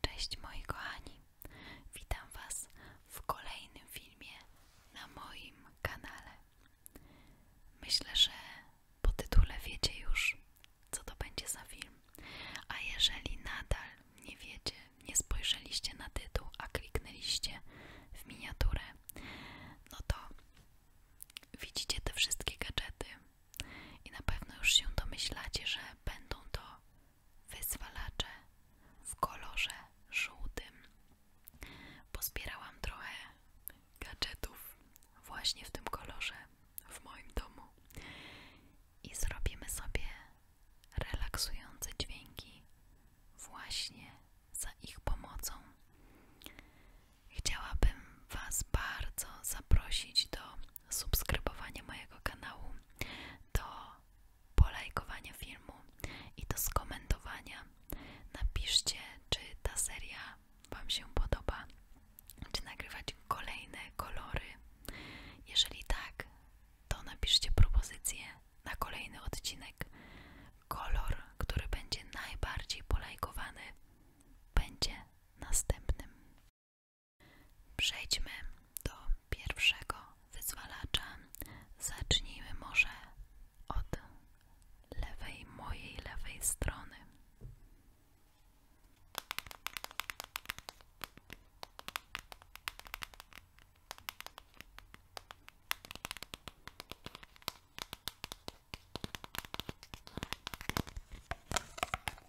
Cześć moi kochani, witam Was w kolejnym filmie na moim kanale. Myślę, że po tytule wiecie już, co to będzie za film. A jeżeli nadal nie wiecie, nie spojrzeliście na tytuł, a kliknęliście w miniaturę, no to widzicie te wszystkie gadżety, i na pewno już się domyślacie, że będą to wyzwalacze w kolorze żółtym. Pozbierałam trochę gadżetów właśnie w tym kolorze w moim domu i zrobimy sobie relaksujące dźwięki właśnie za ich pomocą. Chciałabym Was bardzo zaprosić do subskrybowania mojego kanału, do polajkowania filmu i do skomentowania. Napiszcie, czy ta seria Wam się podoba, czy nagrywać kolejne kolory. Jeżeli tak, to napiszcie propozycję na kolejny odcinek. Kolor, który będzie najbardziej polajkowany, będzie następnym. Przejdźmy do pierwszego wyzwalacza. Zacznijmy może od lewej, mojej lewej strony.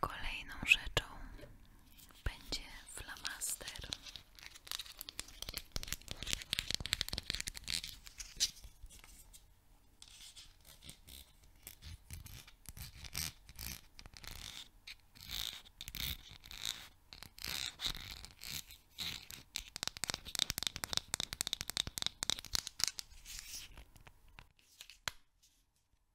Kolejną rzeczą, będzie flamaster.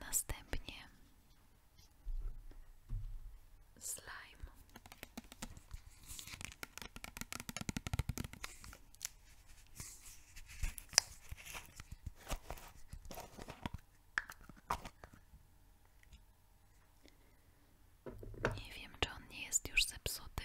Następnie slime. Nie wiem, czy on nie jest już zepsuty.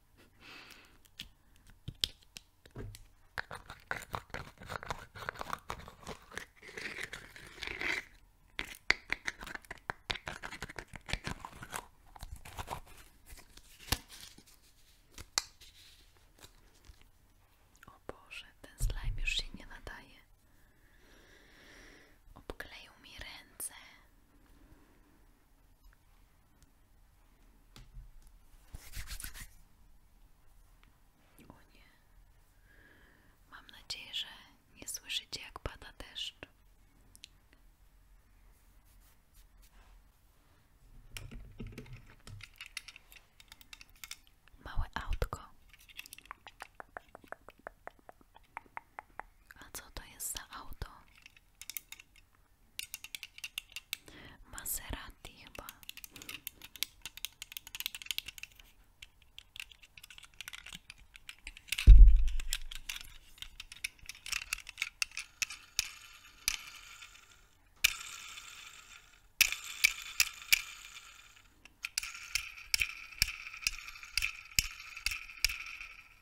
O Boże, ten slime już się nie nadaje. Obkleją mi ręce. Mam nadzieję, że nie słyszycie jak pada deszcz. Małe autko. A co to jest za auto? Maserati chyba.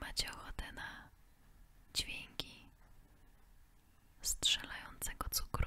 Macie ochotę na dźwięki strzelającego cukru.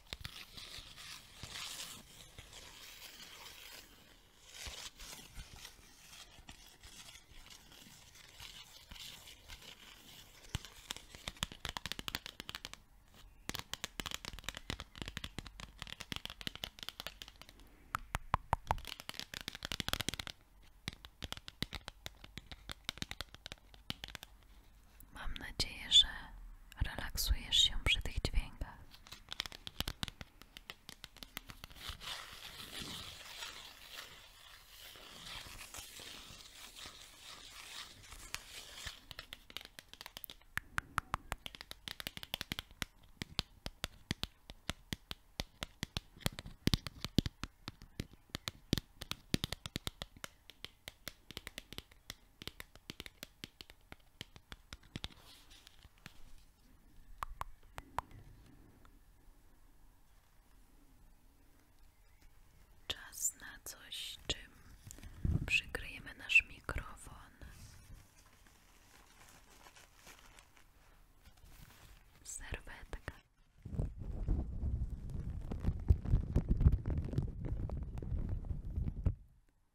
Mam nadzieję, że relaksujesz się przy tych dźwiękach. Czas na coś, czym przykryjemy nasz mikrofon. Serwetka.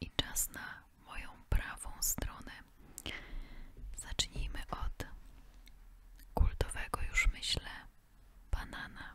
I czas na moją prawą stronę. Zacznijmy od kultowego już myślę banana.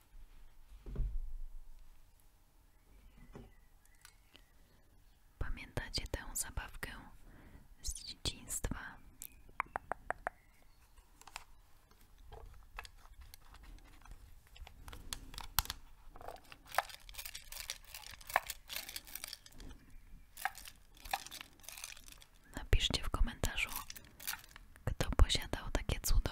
Pamiętacie tę zabawkę z dzieciństwa? Napiszcie w komentarzu, kto posiadał takie cudo.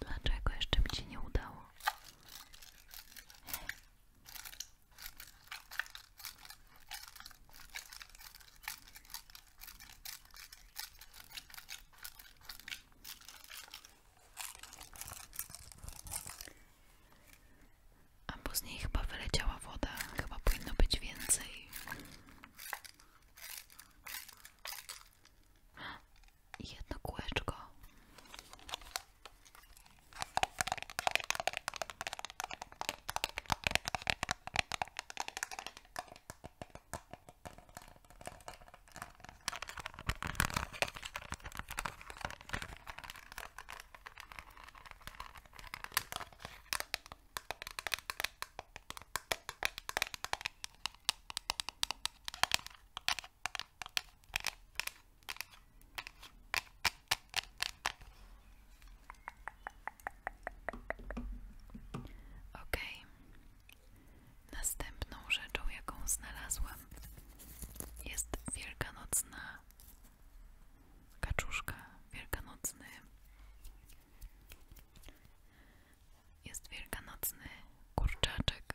Dlaczego jeszcze mi się nie udało? Albo z niej chyba wyleciała woda, chyba powinno być więcej i jedno kółeczko. Ok. Następną rzeczą, jaką znalazłam, jest wielkanocna kaczuszka. Wielkanocny. Jest wielkanocny kurczaczek.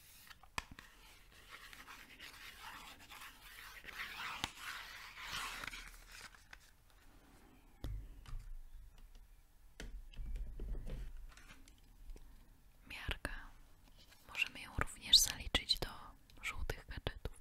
Miarka. Możemy ją również zaliczyć do żółtych gadżetów.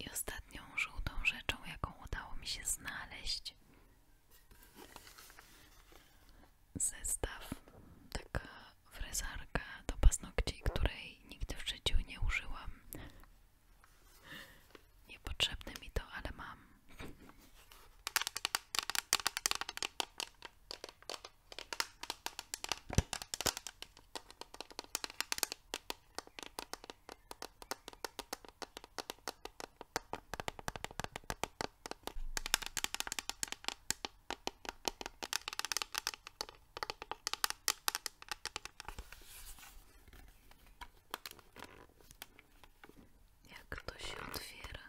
I ostatnią żółtą rzeczą, jaką udało mi się znaleźć, zestaw, taka frezarka do paznokci, której nigdy w życiu nie użyłam. Nie potrzebne mi to, ale mam. Jak to się otwiera?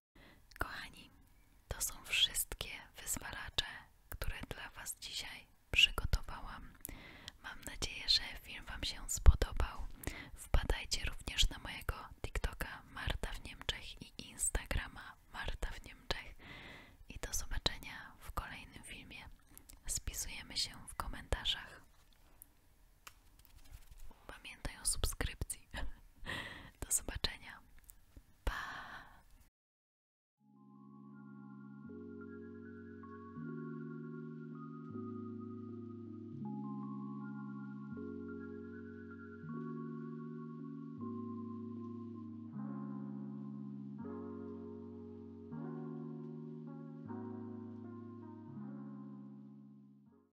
Kochani, to są wszystkie wyzwalacze, które dla Was dzisiaj przygotowałam. Mam nadzieję, że film Wam się spodobał. Wpadajcie również na mojego TikToka Marta w Niemczech i Instagrama Marta w Niemczech. I do zobaczenia w kolejnym filmie. Spisujemy się w komentarzach. Pamiętaj o subskrypcji. Do zobaczenia. Pa!